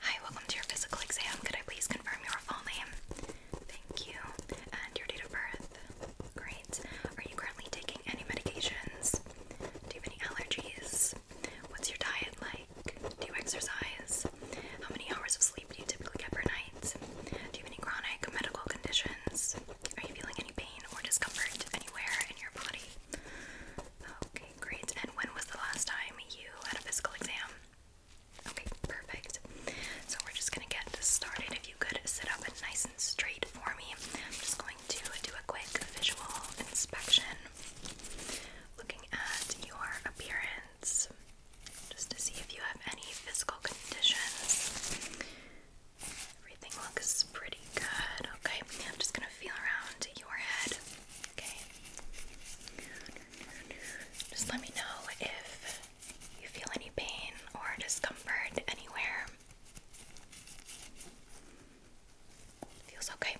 Hi, welcome to your physical exam. Could I please confirm your full name? Thank you. And your date of birth? Great. Are you currently taking any medications? Do you have any allergies? What's your diet like? Do you exercise? How many hours of sleep do you typically get per night? Do you have any chronic medical conditions? Are you feeling any pain or discomfort anywhere in your body? Okay, great. And when was the last time you had a physical exam? Okay, perfect. So we're just gonna get started. If you could sit up nice and straight for me, I'm just going to do a quick visual inspection, looking at your appearance, just to see if you have any physical conditions. Everything looks pretty good. Okay, I'm just gonna feel around your head. Just let me know if you feel any pain or discomfort anywhere. Feels okay.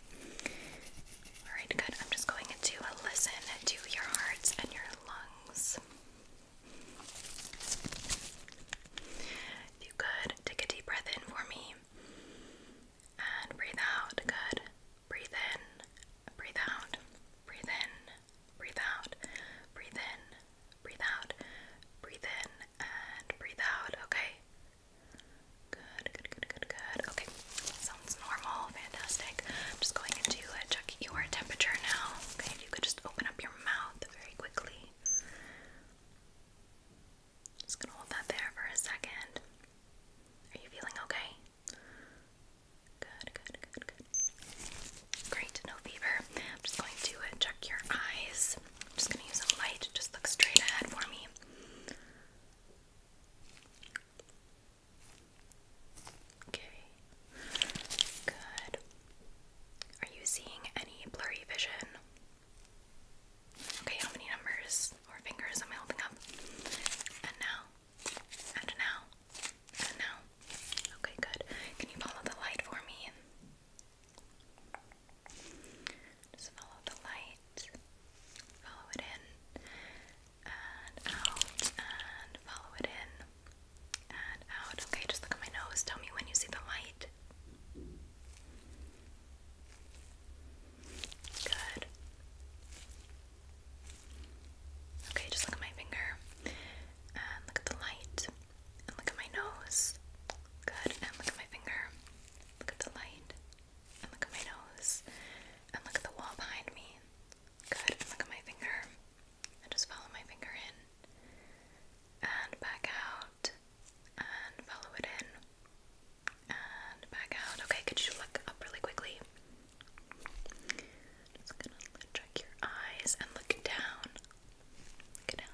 Alright, good. I'm just going to listen to your hearts and your lungs. If you could take a deep breath in for me. And breathe out. Good. Breathe in. Breathe out. Breathe in. Breathe out. Breathe in. Breathe out. Breathe in and breathe out. Okay. Good. Good. Good. Good. Good. Okay. Sounds normal. Fantastic. I'm just going into uh, check your temperature now. Okay. you could just open up your mouth very quickly. Just gonna hold that there for a second. Are you feeling okay? Good, good, good, good. Great, no fever. I'm just going to uh, check your eyes. I'm just gonna use a light. Just look straight ahead for me. Okay. Good. Are you seeing any blurry vision? Okay, how many numbers or fingers am I holding up? And now, and now, and now. Okay, good. Can you follow the light for me? Just follow the light, follow it in, and out, and follow it in, and out. Okay, just look at my nose. Tell me when you see the light. Good. Okay, just look at my finger. And look at the light. And look at my nose. Good. And look at my finger. Look at the light. And look at my nose. And look at the wall behind me. Good. look at my finger. I just follow my finger in and back out and follow it in and back out. Okay, could you look up really quickly? Just gonna check your eyes and look down. Look down,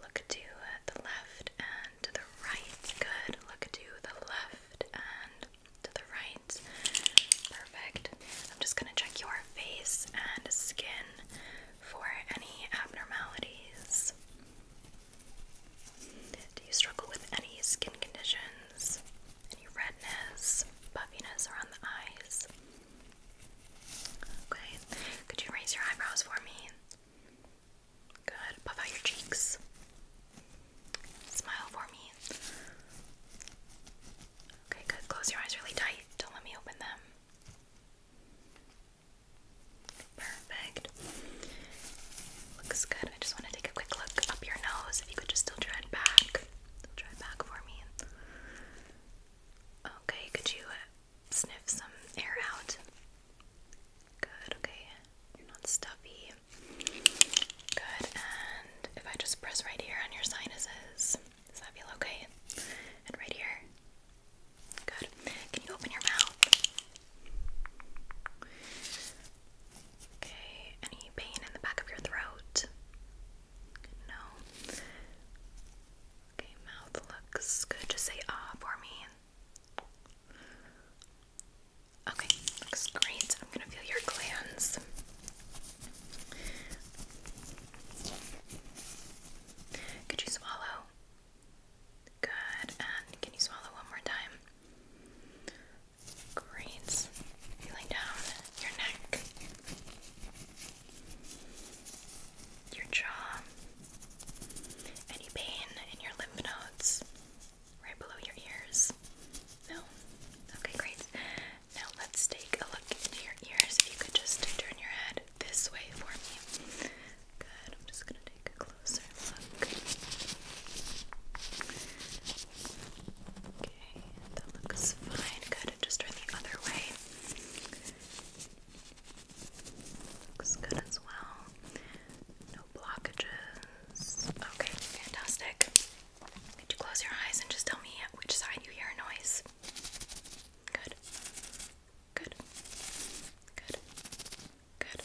look to the left and to the right. Good. Look to the left and to right. Perfect. I'm just going to check your face and skin for any abnormalities. Do you struggle with any skin conditions? Any redness, puffiness around the eyes? Okay. Could you raise your eyebrows for me? Good. Puff out your cheeks. Smile for me. Okay, good. Close your eyes really tight. Don't let me open them. Perfect. Looks good. I just want to take a quick look up your nose. If you could just still try it back. Still it back for me. Okay, could you uh, sniff some air out? Good, okay. You're not stuffy. Good, and if I just press right here on your sinuses, does that feel okay? And right here? Good. Can you open your mouth? Okay, any pain in the back of your throat? No. Okay, mouth looks good. Just say ah for me. Okay, looks great. I'm gonna feel your glands. Could you swallow? Good. And can you swallow one more time? Great. Feeling down your neck, your jaw, any pain in your lymph nodes right below your ears. No? Okay, great. Now let's take a look into your ears. If you could just turn your head this way for me. Good. I'm just going to take a closer look. Okay, that looks fine. Good. Just turn the other way. Looks good as well. No blockages. Okay, fantastic. Could you close your eyes and just tell me which side you hear a noise? Good. Good. Good. Good.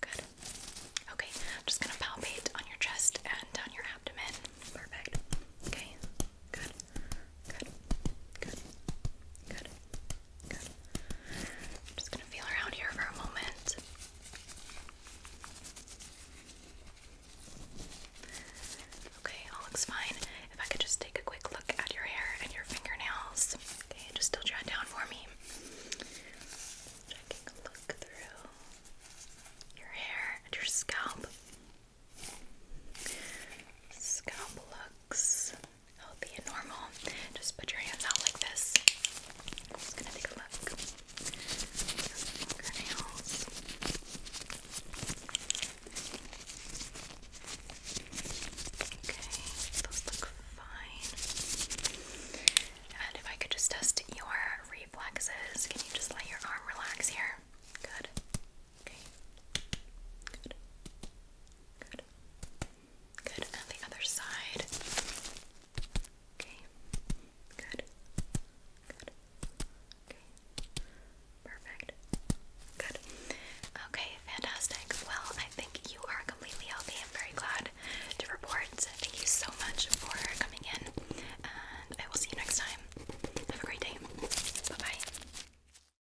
Good. Okay, I'm just gonna palpate on your chest and down your abdomen. Perfect. Okay. Good. Good. Good. Good. I'm just gonna feel around here for a moment. Okay, all looks fine. If I could just take a quick look at your hair and your fingernails. Okay, just still jot down for me. Checking a look through your hair and your scalp. Scalp looks healthy and normal. Just put your hands out like this. just gonna take a look. Okay, those look fine. And if I could just test your reflexes, can you just let your arm relax here? Good. Okay. Good. Good. Good. And the other side. Okay. Good. Good. Okay. Perfect. Good. Okay, fantastic. Well, I think you are completely healthy. I'm very glad to report. Thank you so much for coming in, and I will see you next time. Have a great day. Bye bye.